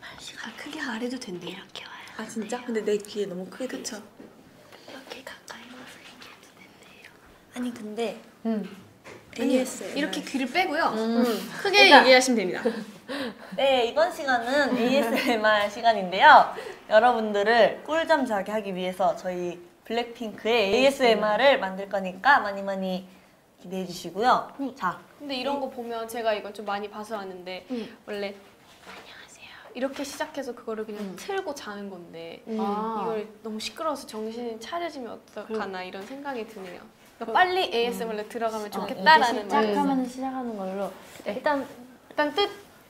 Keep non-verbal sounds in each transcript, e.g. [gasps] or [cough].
말씨가 아, 크게 안 해도 된대 이렇게 와요. 아 진짜? 돼요. 근데 내 귀에 너무 크게 그쵸? 이렇게 가까이 와서 얘기해도 된대요. 아니 근데 음. ASMR. 이렇게 귀를 빼고요. 음. 음. 크게 그러니까, 얘기하시면 됩니다. [laughs] 네, 이번 시간은 ASMR 시간인데요. 여러분들을 꿀잠 자게 하기 위해서 저희 블랙핑크의 ASMR을 만들 거니까 많이 많이 기대해 주시고요. 네. 자. 근데 이런 네. 거 보면 제가 이걸 좀 많이 봐서 아는데 음. 원래 안녕하세요 이렇게 시작해서 그거를 그냥 음. 틀고 자는 건데 음. 아. 이걸 너무 시끄러워서 정신이 차려지면 어떡하나 이런 생각이 드네요. 그러니까 어. 빨리 음. ASMR로 들어가면 어, 좋겠다라는 말. 아, 시작하면 시작하는 걸로 네. 일단 일단 뜻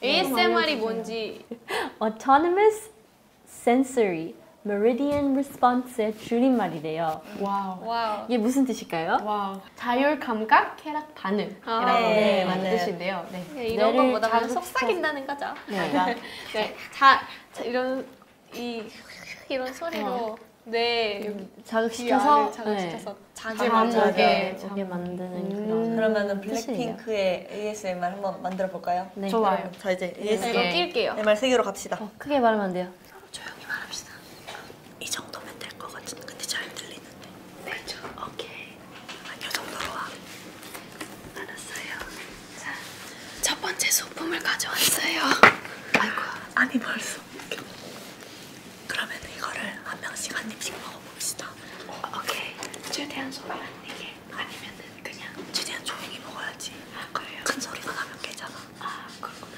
네. ASMR이 뭔지. Autonomous Sensory Meridian Response의 줄임말이래요. 와우. 와우. 이게 무슨 뜻일까요? 와우. 자율 감각, 쾌락 반응 아, 네, 이라고 네, 뜻인데요. 네. 네. 네. 이런 것보다 그냥 속삭인다는 거죠. 네, 네. [laughs] 네. 자, 자, 이런 이 이런 소리로 어. 네 여기 음, 자극시켜서 자극시켜서 자기 만족에 자게 만드는 음. 그런 그러면은 블랙핑크의 ASMR 한번 만들어 볼까요? 네. 좋아요. 자 이제 ASMR 네. 낄게요. MR 세 개로 갑시다. 어, 크게 말하면 안 돼요. 서로 조용히 말합시다. 이 정도면 될거 같은데 근데 잘 들리는데. 네. 그쵸? 오케이. 아니, 요 정도로 와. 알았어요. 자, 첫 번째 소품을 가져왔어요. 아이고, 아니 벌써. 그러면 이거를 한 명씩 한 입씩 먹어봅시다. 어, 오케이. 최대한 소리 안 내게. 아니면은 그냥 최대한 조용히 먹어야지. 아, 그래요? 큰 소리가 나면 깨잖아. 아 그렇구나.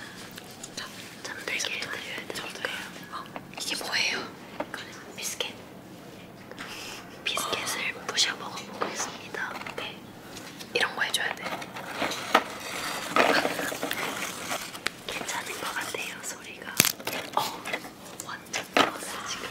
자, 잠들게 해드려야 되니까. 어, 이게 뭐예요? 그래. 비스켓. 비스켓을 어. 부셔 먹어보겠습니다. 네. 이런 거 해줘야 돼. 괜찮은 것 같아요 소리가. 어, 완전 좋았어 지금.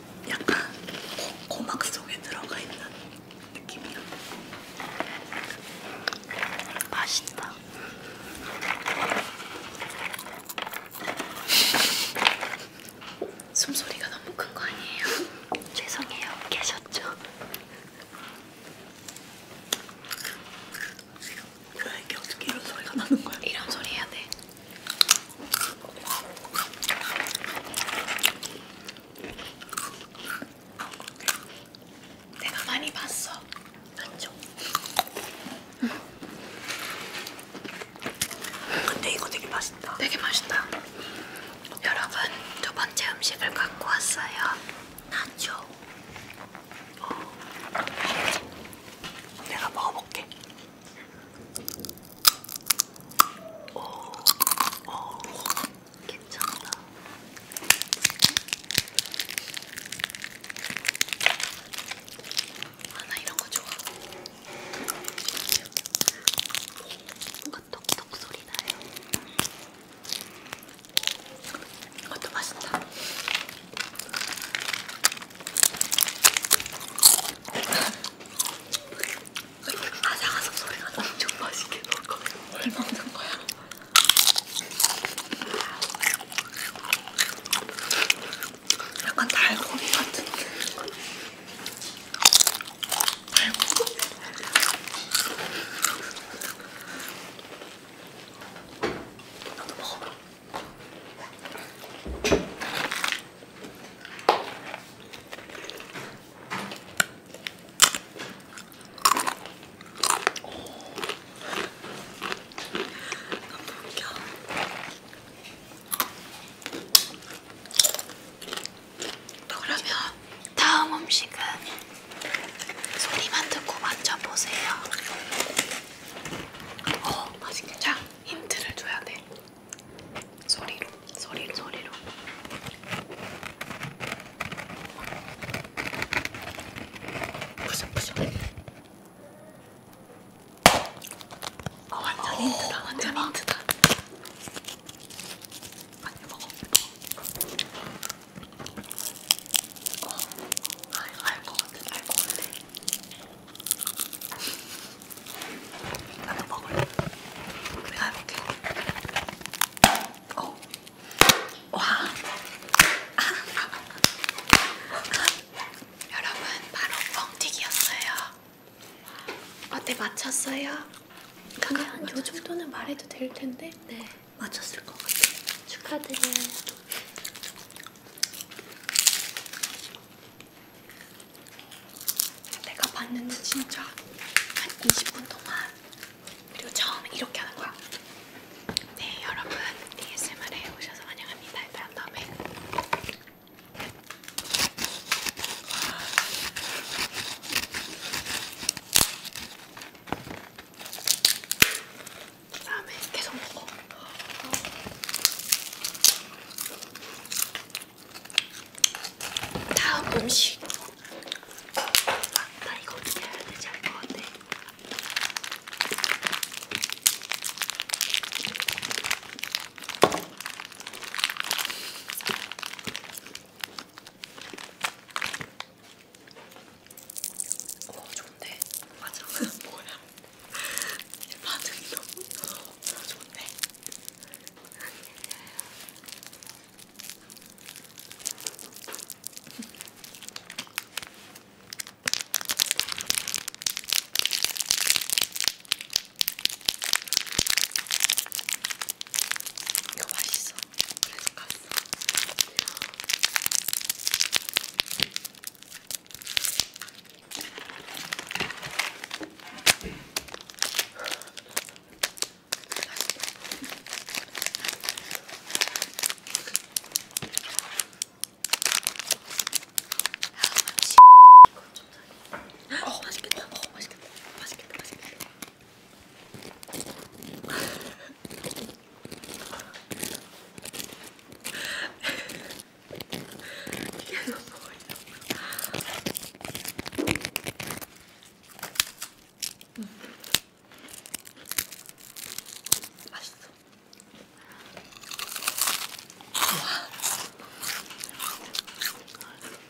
약간 고, 고막 속에 들어가 있는 느낌이야. 맛있다. [laughs] 숨소리가 너무 큰 거 아니에요? [laughs] 죄송해요. 계셨죠? 그래, 이게 어떻게 이런 소리가 나는 거야? 이런 소리 해야 돼. 내가 많이 봤어. 맞죠? 응. 근데 이거 되게 맛있다. 되게 맛있다. 여러분 두 번째 음식을 갖고 왔어요. 나초. 어. 내가 먹어볼게. 오, 오, 괜찮다. 아, 나 이런 거 좋아. 뭔가 톡톡 소리 나요. 이것도 맛있다. 아삭아삭 소리가 엄청 맛있게 넣을 거예요. 뭘 먹는 거야? 약간 달고기 같은 달고기? 나도 먹어봐. 그러면 다음 음식은 소리만 듣고 만져보세요. 어, 맛있겠죠? 힌트를 줘야 돼. 소리로, 소리로, 소리로. 부셔, 부셔. 아 어, 완전 어, 힌트다, 완전 대박. 힌트다. 많이 먹어. 어, 알것 같아, 알것 같아. 나도 먹을래. 내가 해볼게. 어. 와. 아. [laughs] 여러분, 바로 뻥튀기였어요. 어때, 맞췄어요? 그냥 요 정도는 말해도 될 텐데. 네, 맞췄을 것 같아요. 축하드려요. 내가 봤는데 진짜 한 20분 동안 그리고 처음에 이렇게 하는 거야. 네 여러분 ASMR에 오셔서 환영합니다. 이런 다음에 다음에 계속 먹어. 다음 음식. 맞다, 이거 어떻게 해야 되지? 알것 같아. 오, 어, 좋은데? 맞아, [laughs] 뭐야? 반응이 너무 너무 좋네. 이거 맛있어. 그래서 갔어. 어 맛있겠다. 어 맛있겠다. 맛있겠다. 맛있겠다. 이게 너무 음. 맛있어. 와,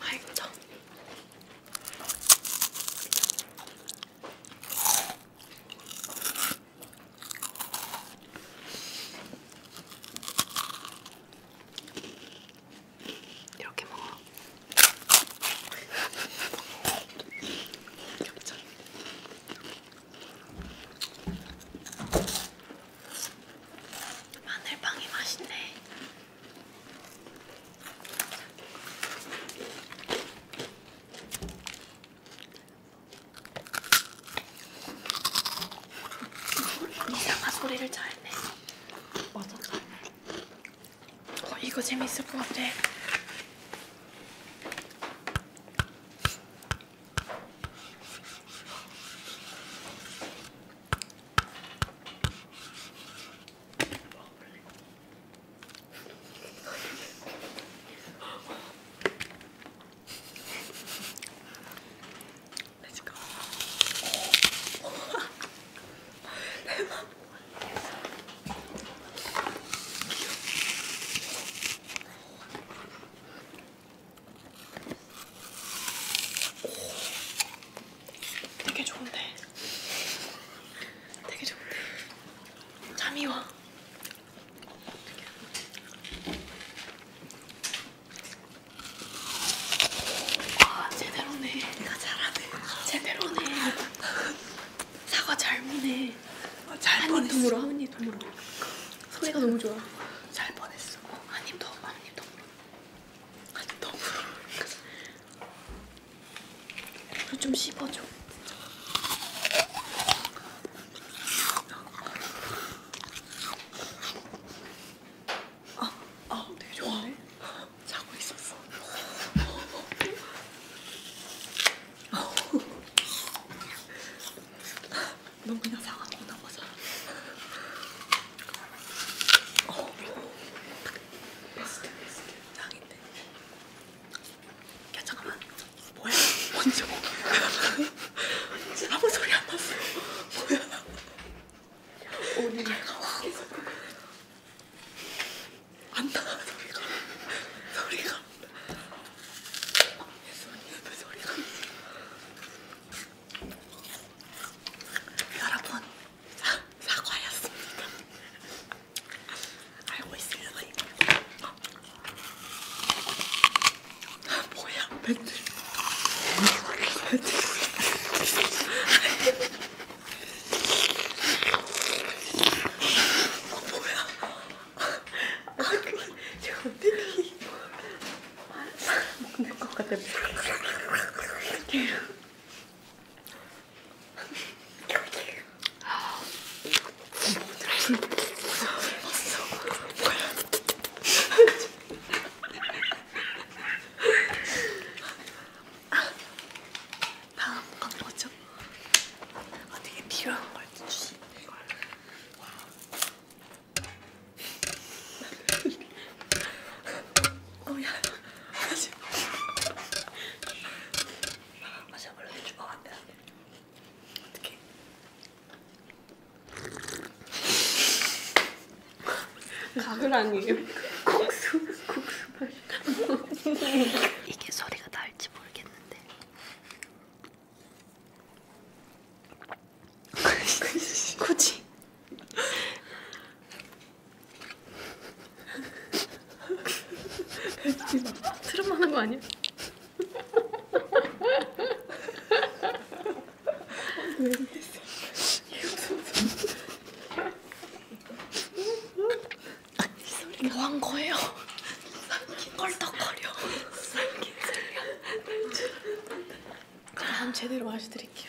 맛있어. 이렇게 먹어. 겹쳐. 마늘빵이 맛있네. 이상한 소리를 잘네 맞아 어, 이거 재밌을 것 같아 Let's go. 대박. 되게 좋은데. 되게 좋은데. 잠이 와. 아 제대로네. 니가 잘하네. 제대로네. 사과 잘 무네. 아, 잘 한입 통으로 한입 통으로. 소리가 너무 좋아. 잘 뻔했어. 어, 한입 더 한입 더. 한입 더. 물좀 씹어줘. 아, 아, 되게 좋은데? 자고 있었어. 넌 그냥 상하구나 보자. 어, 베스트 베스트. 상인데. 야 잠깐만 뭐야 뭔지 뭐 진짜 [laughs] 아무 소리 안 났어 뭐야 오늘 안나 소리가 소리가 예수 예배 소리가 여러분 사, 사과였습니다 I always see it [gasps] late. [laughs] [laughs] [laughs] Oh 다음 건 뭐죠? 아 되게 필요한 걸 주시는 걸. 어야 아직. 아직 원래 주먹 안 되는데. 어떻게? 가글 아니에요? 국수 국수 맛. 이게 소리가 날지 모르겠는데. 굳이. 트럼하는 거 아니야? 뭐한 거예요? 껄떡거려. 삼킨 제가 한 제대로 마셔드릴게요.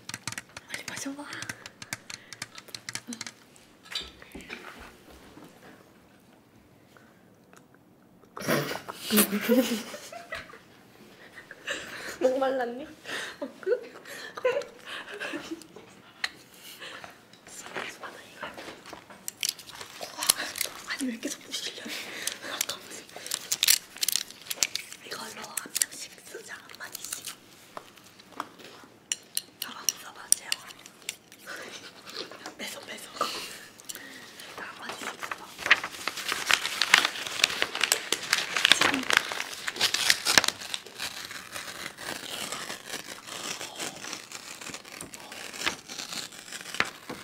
빨리 마셔봐. [laughs] 목 말랐니? 어, 그? 아, 아니 왜 이렇게 자꾸 실려? 아까 무슨 이걸로 한 명씩 쓰자, 한 마디씩. 나만 써봐, 재영아. [laughs] 뺏어, 뺏어. 한 마디씩 써봐. 지금. 어. 어.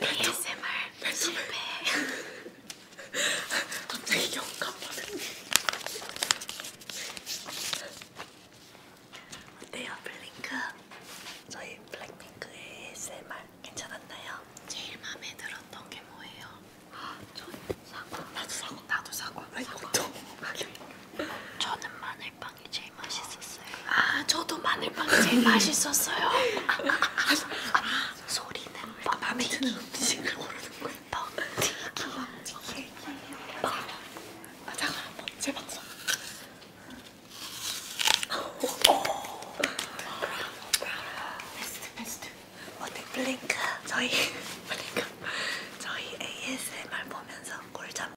ASMR 실패 갑자기 영감 받은 게 어때요 블링크? 저희 블랙핑크의 ASMR 괜찮았나요? 제일 마음에 들었던 게 뭐예요? 전 사과 나도 사과 나도 사과 아이고, 사과 저는 마늘빵 마늘빵이 제일 맛있었어요. 아 저도 마늘빵이 제일 맛있었어요. [laughs] 소리는 아, 마음에 드는 음식을 고르는 거예요. 뻥튀기. 아 잠깐 한번 어, 제 방송. 베스트 베스트. 오늘 블링크 저희 [laughs] 블링크 저희 ASMR 보면서 꿀잠.